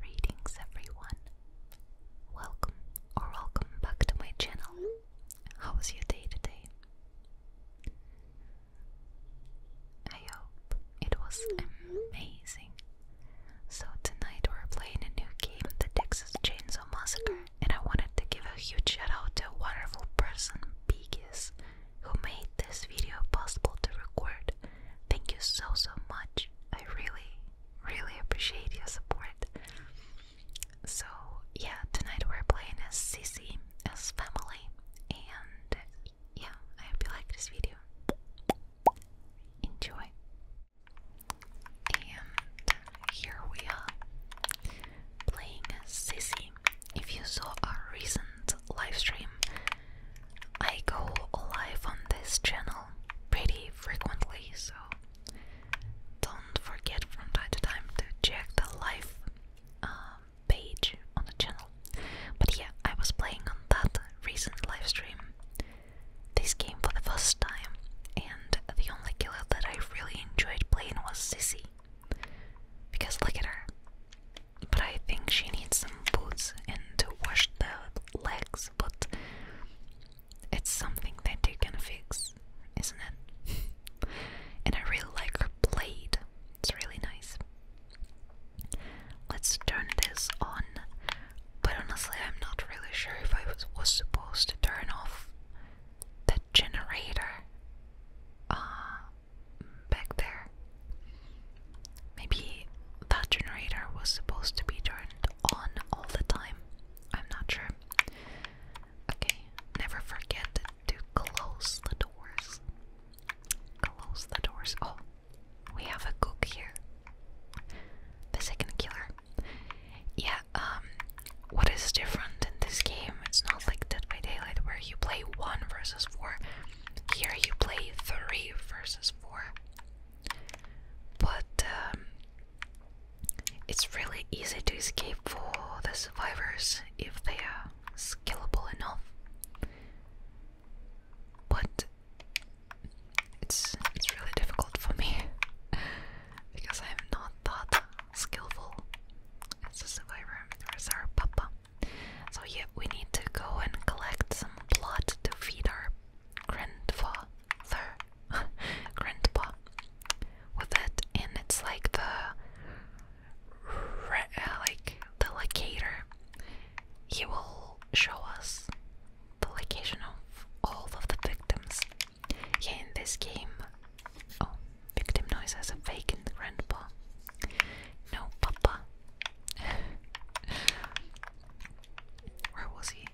Greetings everyone. Welcome or welcome back to my channel. How was your day today? I hope it was amazing. So tonight we're playing a new game, the Texas Chainsaw Massacre, and I wanted to give a huge shout out to a wonderful person, Biggis, who made this video possible to record. Thank you so, so much. I really, really appreciate your support. So, yeah, tonight we're playing as Sissy, as family, and yeah, I hope you like this video. Enjoy. And here we are playing as Sissy. If you saw our recent live stream, I go live on this channel pretty frequently, so don't forget from time to time to check the live um, page on the channel. But yeah, I was playing on that recent livestream this game for the first time, and the only killer that I really enjoyed playing was Sissy. Because look at her. But I think she needs some boots and to wash the legs, but it's something that they can fix, isn't it? and I really like her blade, it's really nice. Let's turn this on, but honestly, I'm not really sure if I was, supposed to turn off the generator uh, back there. Maybe that generator was supposed to be turned on all the time. I'm not sure. Okay, never forget to close the doors. Close the doors. Oh, we have a cook here. The second killer. Yeah, um, what is different in this game? It's not like Dead by Daylight where you play one versus four. Here you play three versus four. But um, it's really easy to escape for the survivors if they are skillable enough. But it's it's really difficult for me because I'm not that skillful as a survivor as our papa. So yeah, we need to go and collect some plot to feed our grandfather, grandpa, with it, and it's like the uh, like the locator. He will show us the location of all of the victims. in this game, oh, victim noise has a vacant grandpa. No, papa where was he?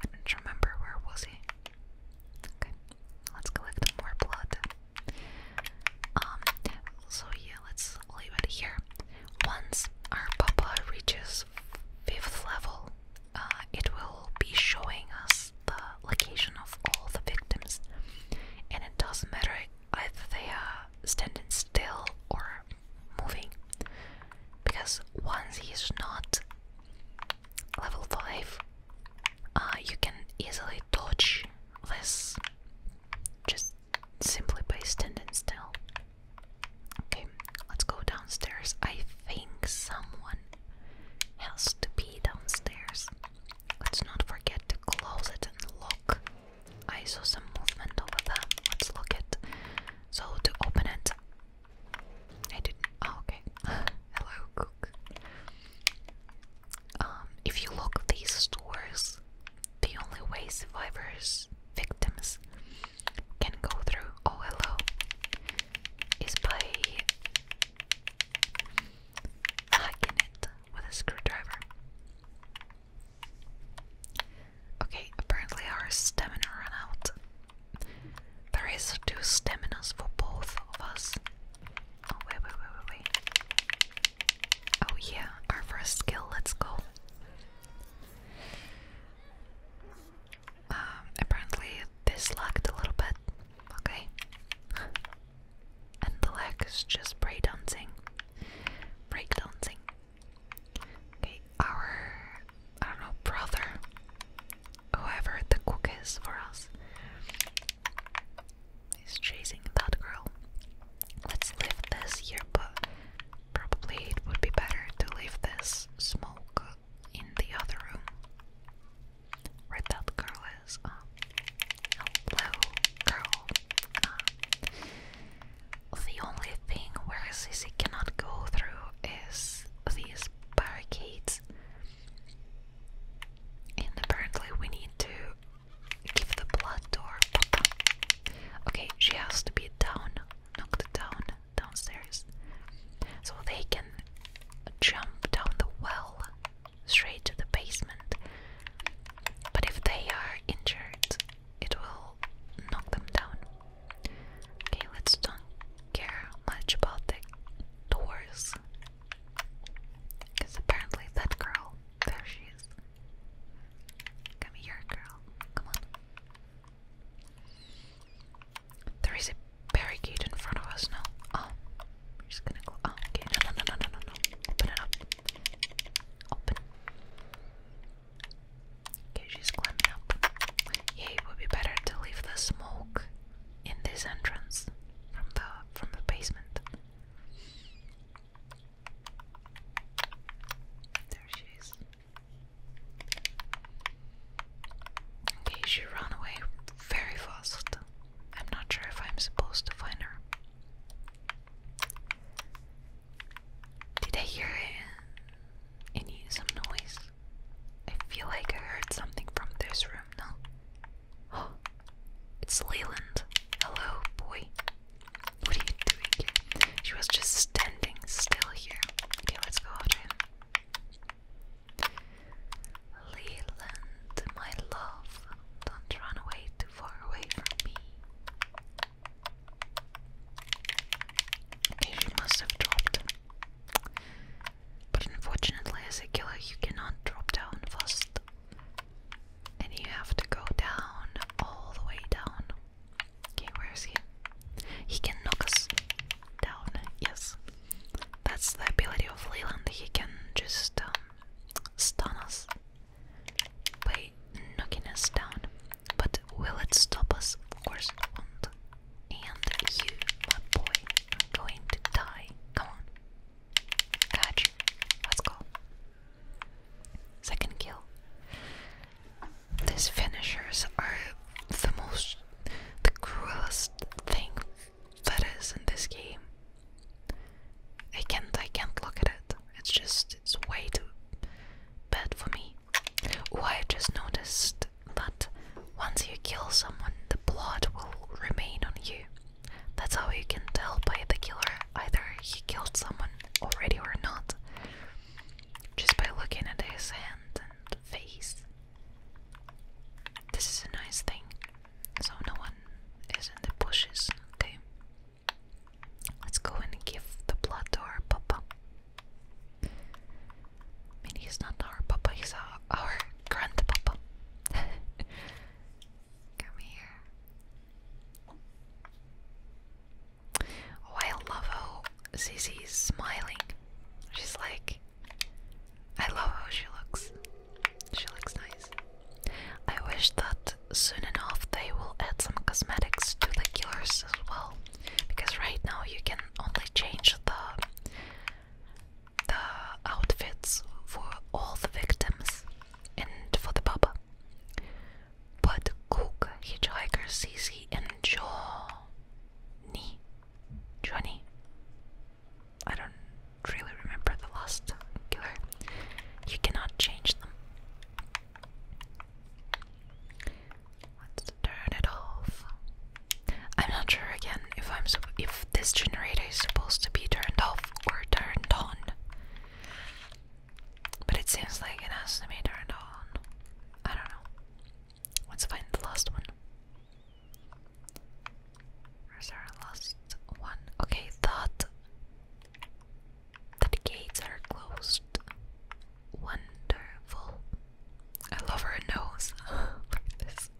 I don't remember where was he. Okay, let's collect more blood. Um, so yeah, let's leave it here. Once our papa reaches fifth level, uh, it will be showing us the location of all the victims, and it doesn't matter either they are standing still or moving. Because once he is not level 5, uh, you can easily dodge this just simply by standing still. Okay, let's go downstairs. I think someone has to be downstairs. Let's not forget to close it and lock I saw some movement over there. Let's look it. So to open it, I did Oh, okay. Hello, cook. Um, if you look these stores, the only way survivors, victims, can go through. Oh, hello. Is by hacking it with a screwdriver. Okay, apparently our stamina ran There is two staminas for both of us. Oh, wait, wait, wait, wait, wait. Oh, yeah, our first skill, let's go. Um, apparently this lagged a little bit. Okay and the leg is just break dancing, break dancing. Okay, our, I don't know, brother, whoever the cook is for us, is chasing that girl. Let's leave this here, but probably it would be better to leave this smoke in the other room where that girl was um, girl. Um, the only thing where Sissy cannot go through is these barricades. And apparently we need to give the blood door. Okay, she has to be down, knocked down, downstairs. So they can jump down the well straight to the basement. But if they are injured, it will knock them down. Okay, let's don't care much about the doors. Because apparently that girl, there she is. Come here, girl. Come on. There is a barricade in front of us now. Oh, we're just gonna go. Oh, okay. No, no, no, no, no, no. Open it up. Open. Okay, she's climbing up. Yeah, it would be better to leave the smoke in this entrance from the from the basement. There she is. Okay, she ran away very fast. I'm not sure if I'm supposed to find her. Did I hear any some noise? I feel like I heard something from this room, no? it's Leland. Hello, boy. What are you doing She was just standing still here. Okay, let's go after him. Leland, my love, don't run away far away from me. Okay, she must have dropped. But unfortunately, as a killer, you cannot drop down first, And you have to go down, all the way down. Okay, where is he? He can knock us down, yes. That's the ability of Leland, he can just um, stun us by knocking us down. But will it stop us? Of course it won't. And you, my boy, are going to die. Come on. Catch. Let's go. Second kill. These finishers are the most, the cruelest thing that is in this game. I can't I can't look at it. It's just it's way too bad for me. Oh I just noticed that once you kill someone the blood will remain on you. That's how you can tell by the killer either he killed someone already or not. Just by looking at his hand and face. This is a nice thing so no one is in the bushes, okay? Let's go and give the blood to our papa. I mean, he's not our papa, he's our, our grandpapa. Come here. Oh, I love how Zizi's smiling. She's like, I love how she looks. She looks nice. I wish that soon enough they will add some cosmetics to the killers as well. Because right now you can only change the the outfits for all the victims and for the Baba. But Cook, Hitchhiker, Cece, and Johnny. Johnny. I don't really remember the last killer. You cannot change them. Let's turn it off. I'm not sure again if I'm if this generator is supposed to be turned off or turned on. But it seems like it has to be turned on. I don't know. Let's find the last one. Where's our last one? Okay, that the gates are closed. Wonderful. I love her nose. Look at this.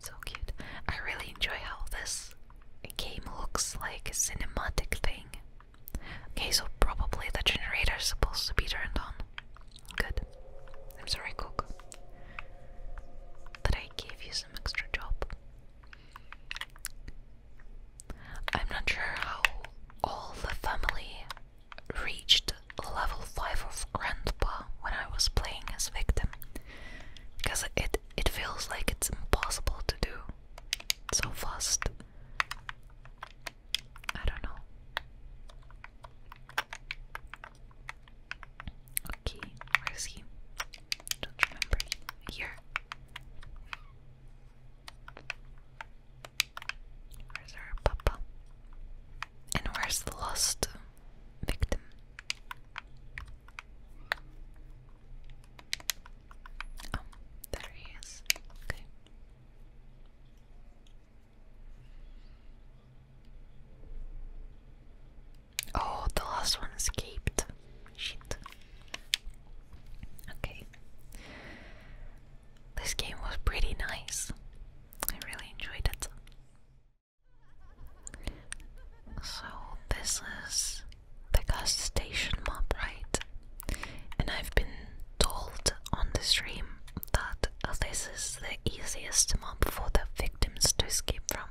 So cute. I really enjoy how this game looks like a cinematic thing. Okay, so probably the generator is supposed to be turned on. Good. I'm sorry, Cook, that I gave you some extra job. I'm not sure how all the family reached level 5 of Grandpa when I was playing as victim. Because it it feels like it's impossible to do so fast. I don't know. Okay, where is he? Don't remember. Here. Where's our papa? And where's the lost victim? Oh, there he is. Okay. Oh, the last one escaped. Okay. This game was pretty nice. I really enjoyed it. So, this is the gas station map, right? And I've been told on the stream that this is the easiest one for the victims to escape from.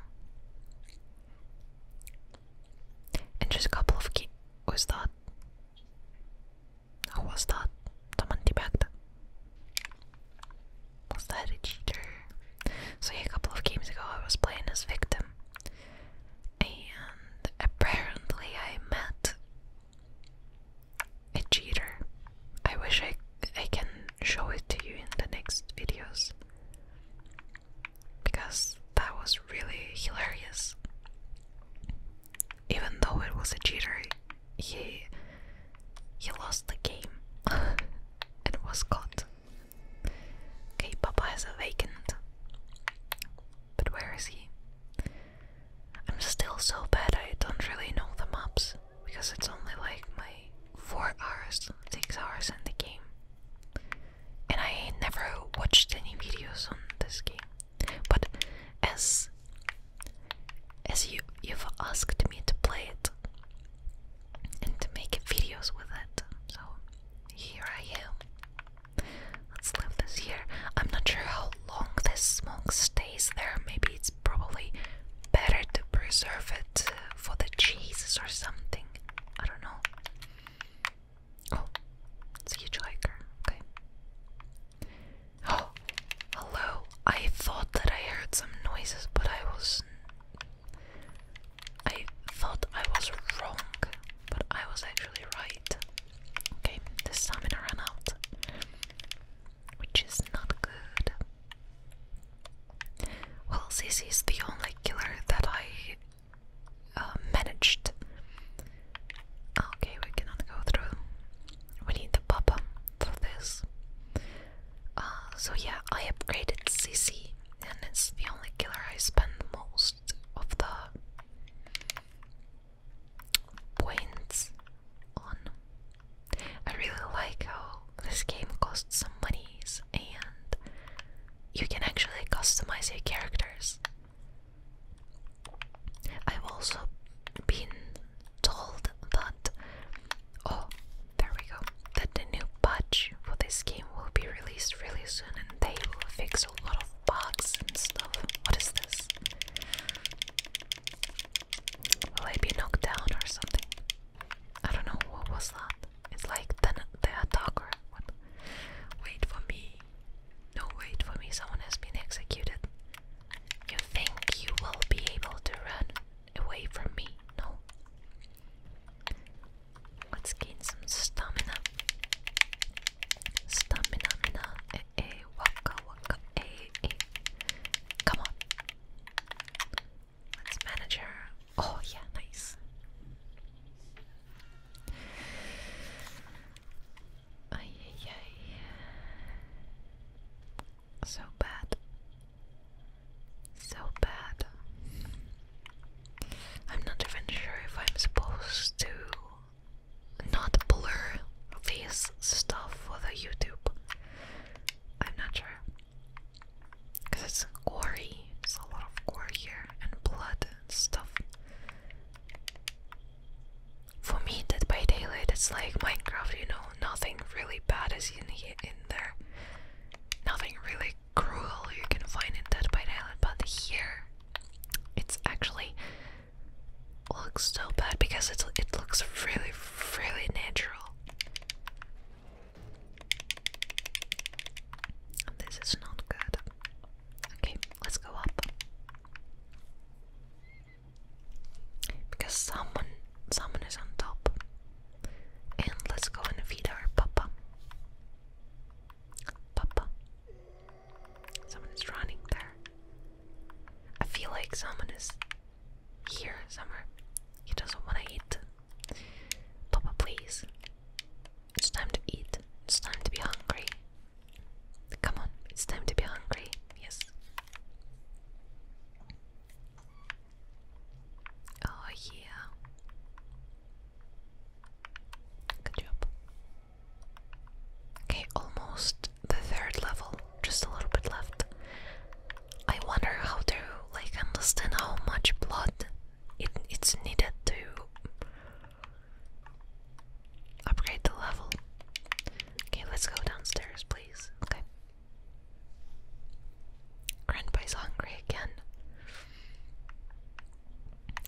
And just a couple of key. Was that? Who was that? Someone debugged. Was that a cheater? So a couple of games ago I was playing as victim, and apparently I met a cheater. I wish I I can show it to you in the next videos because that was really hilarious. Even though it was a cheater, he he lost the game It was caught. Okay, Papa has a vacant. But where is he? I'm still so bad I don't really know the maps because it's only like my four hours, six hours in the game. And I never watched any videos on this game. But as as you you've asked me to play it and to make videos with it, so here I am. Let's leave this here. I'm not sure how long this smoke stays is there. Maybe it's probably better to preserve it for the cheeses or something. I don't know. Oh, it's a huge hiker. Okay. Oh, hello. I thought that I heard some noises, but I was. I thought I was wrong, but I was actually right. Okay, this time stamina ran out which is not good. Well, Sissy is the only killer that I uh, managed. Okay, we cannot go through. We need the papa for this. Uh, so yeah, I upgraded Sissy, and it's the only killer I spend most of the points on. I really like how this game costs some monies and you can actually customize your characters. I've also been told that oh there we go that the new patch for this game will be released really soon and they will fix a lot of bugs and stuff. What is this? Will I be knocked down or something? I don't know what was that. It's like the the attacker. What? Wait for me. No, wait for me. Someone has been executed. You think you will be able to run away from me? No. Let's gain some stamina. Stamina, mina, eh, eh, waka, waka, eh, eh. Come on, let Oh yeah, nice. Ay, So bad. So bad. I'm not even sure if I'm supposed to not blur this stuff for the YouTube. I'm not sure. Because it's gorey. There's a lot of gore here and blood and stuff. For me, Dead by Daylight, it's like Minecraft, you know, nothing really bad is in, here, in there. Nothing really cruel you can find in Dead by Daylight, but here, it's actually looks so bad because it it looks really really natural. This is not good. Okay, let's go up. Because someone someone is on top. And let's go and feed our papa. Papa. Someone is running there. I feel like someone is here, somewhere. He doesn't want to eat. Papa, please. It's time to eat. It's time to be hungry. Come on, it's time to be hungry. Yes. Oh, yeah. Good job. Okay, almost the third level, just a little bit left. I wonder how to like understand how much blood it it's needed to upgrade the level. Okay, let's go downstairs, please. Okay. Grandpa's hungry again.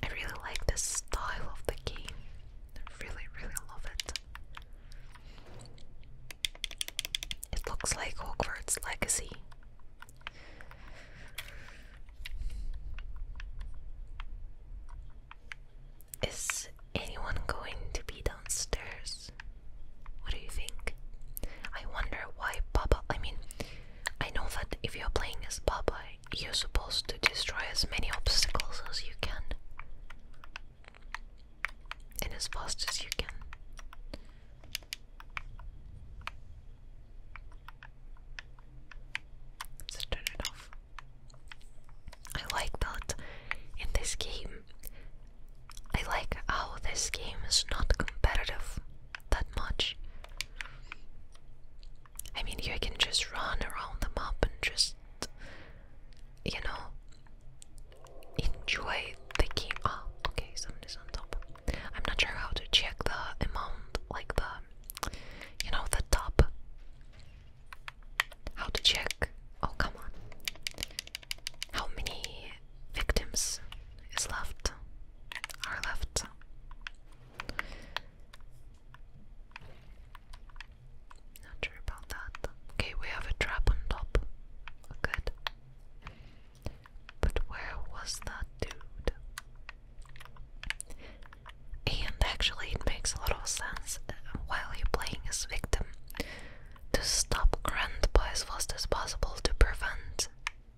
I really like the style of the game. I really, really love it. It looks like Hogwarts Legacy. Is anyone going to be downstairs? What do you think? I wonder why Baba. I mean, I know that if you're playing as Baba, you're supposed to destroy as many obstacles as you can and as fast as you can. So turn it off. I like that in this game. I like how this game is not competitive that much. I mean, you can just run around the map and just, you know, enjoy thinking. game. Ah, oh, okay, somebody's on top. I'm not sure how to check the amount, like the, you know, the top. How to check? Oh, come on. How many victims is left? Are left? Not sure about that. Okay, we have a trap on top. Good. But where was that dude? And actually, it makes a lot of sense uh, while you're playing as victim to stop grandpa as fast as possible to prevent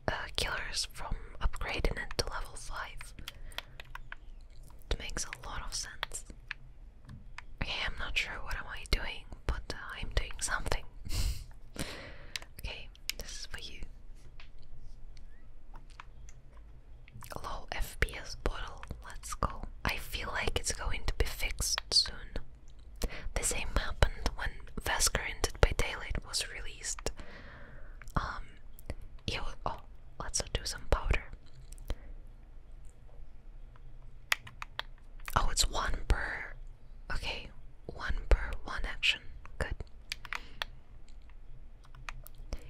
uh, killers from upgrading it to level 5. It makes a lot of sense. Okay, I'm not sure what am I doing, but uh, I'm doing something. okay, this is for you. Low FPS bottle, let's go. I feel like it's going to be fixed soon. The same happened when Vasker Ended by Daylight was released. Um, it oh, let's do some powder. Oh, it's one per. Okay, one per one action. Good.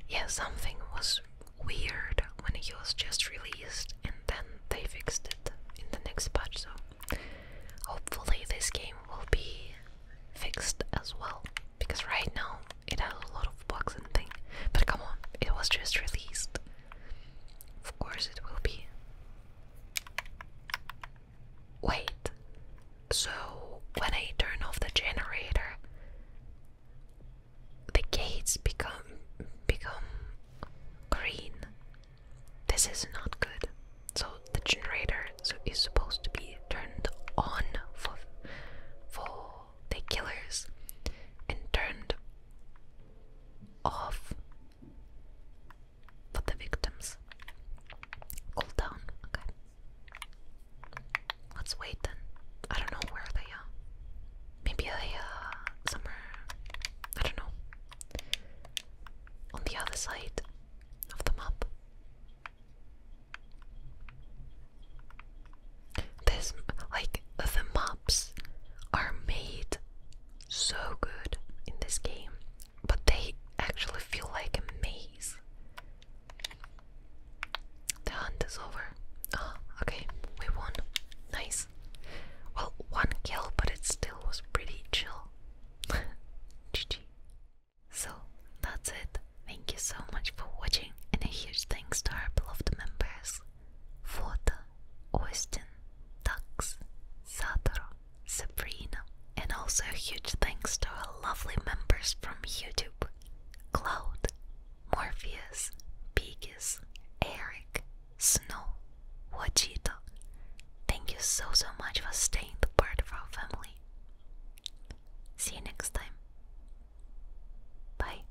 Yeah, something was weird when it was just released, and then they fixed it in the next patch, so hopefully this game will be fixed as well. Because right now it has a lot of bugs and things, but come on, it was just released. Of course it will be. Wait. So when I turn off the generator, the gates become become green. This is not good. So the generator so is supposed to be turned on for for the killers and turned off for the victims. Cool down. Okay. Let's wait then. I don't know where they are. Maybe they are uh, somewhere. I don't know. On the other side of the map. This, like, the maps are made so good in this game, but they actually feel like a maze. The hunt is over. Ah, okay, we won. Nice. Well, one kill, but it still was pretty chill. GG. So, that's it. Thank you so much for watching, and a huge thanks to our beloved members. Fota, Austin, Ducks, Satoru, Sabrina, and also a huge thanks to our lovely members from YouTube Cloud, Morpheus, Biggis, Eric, Snow, Wajito. Thank you so so much for staying the part of our family. See you next time. Bye.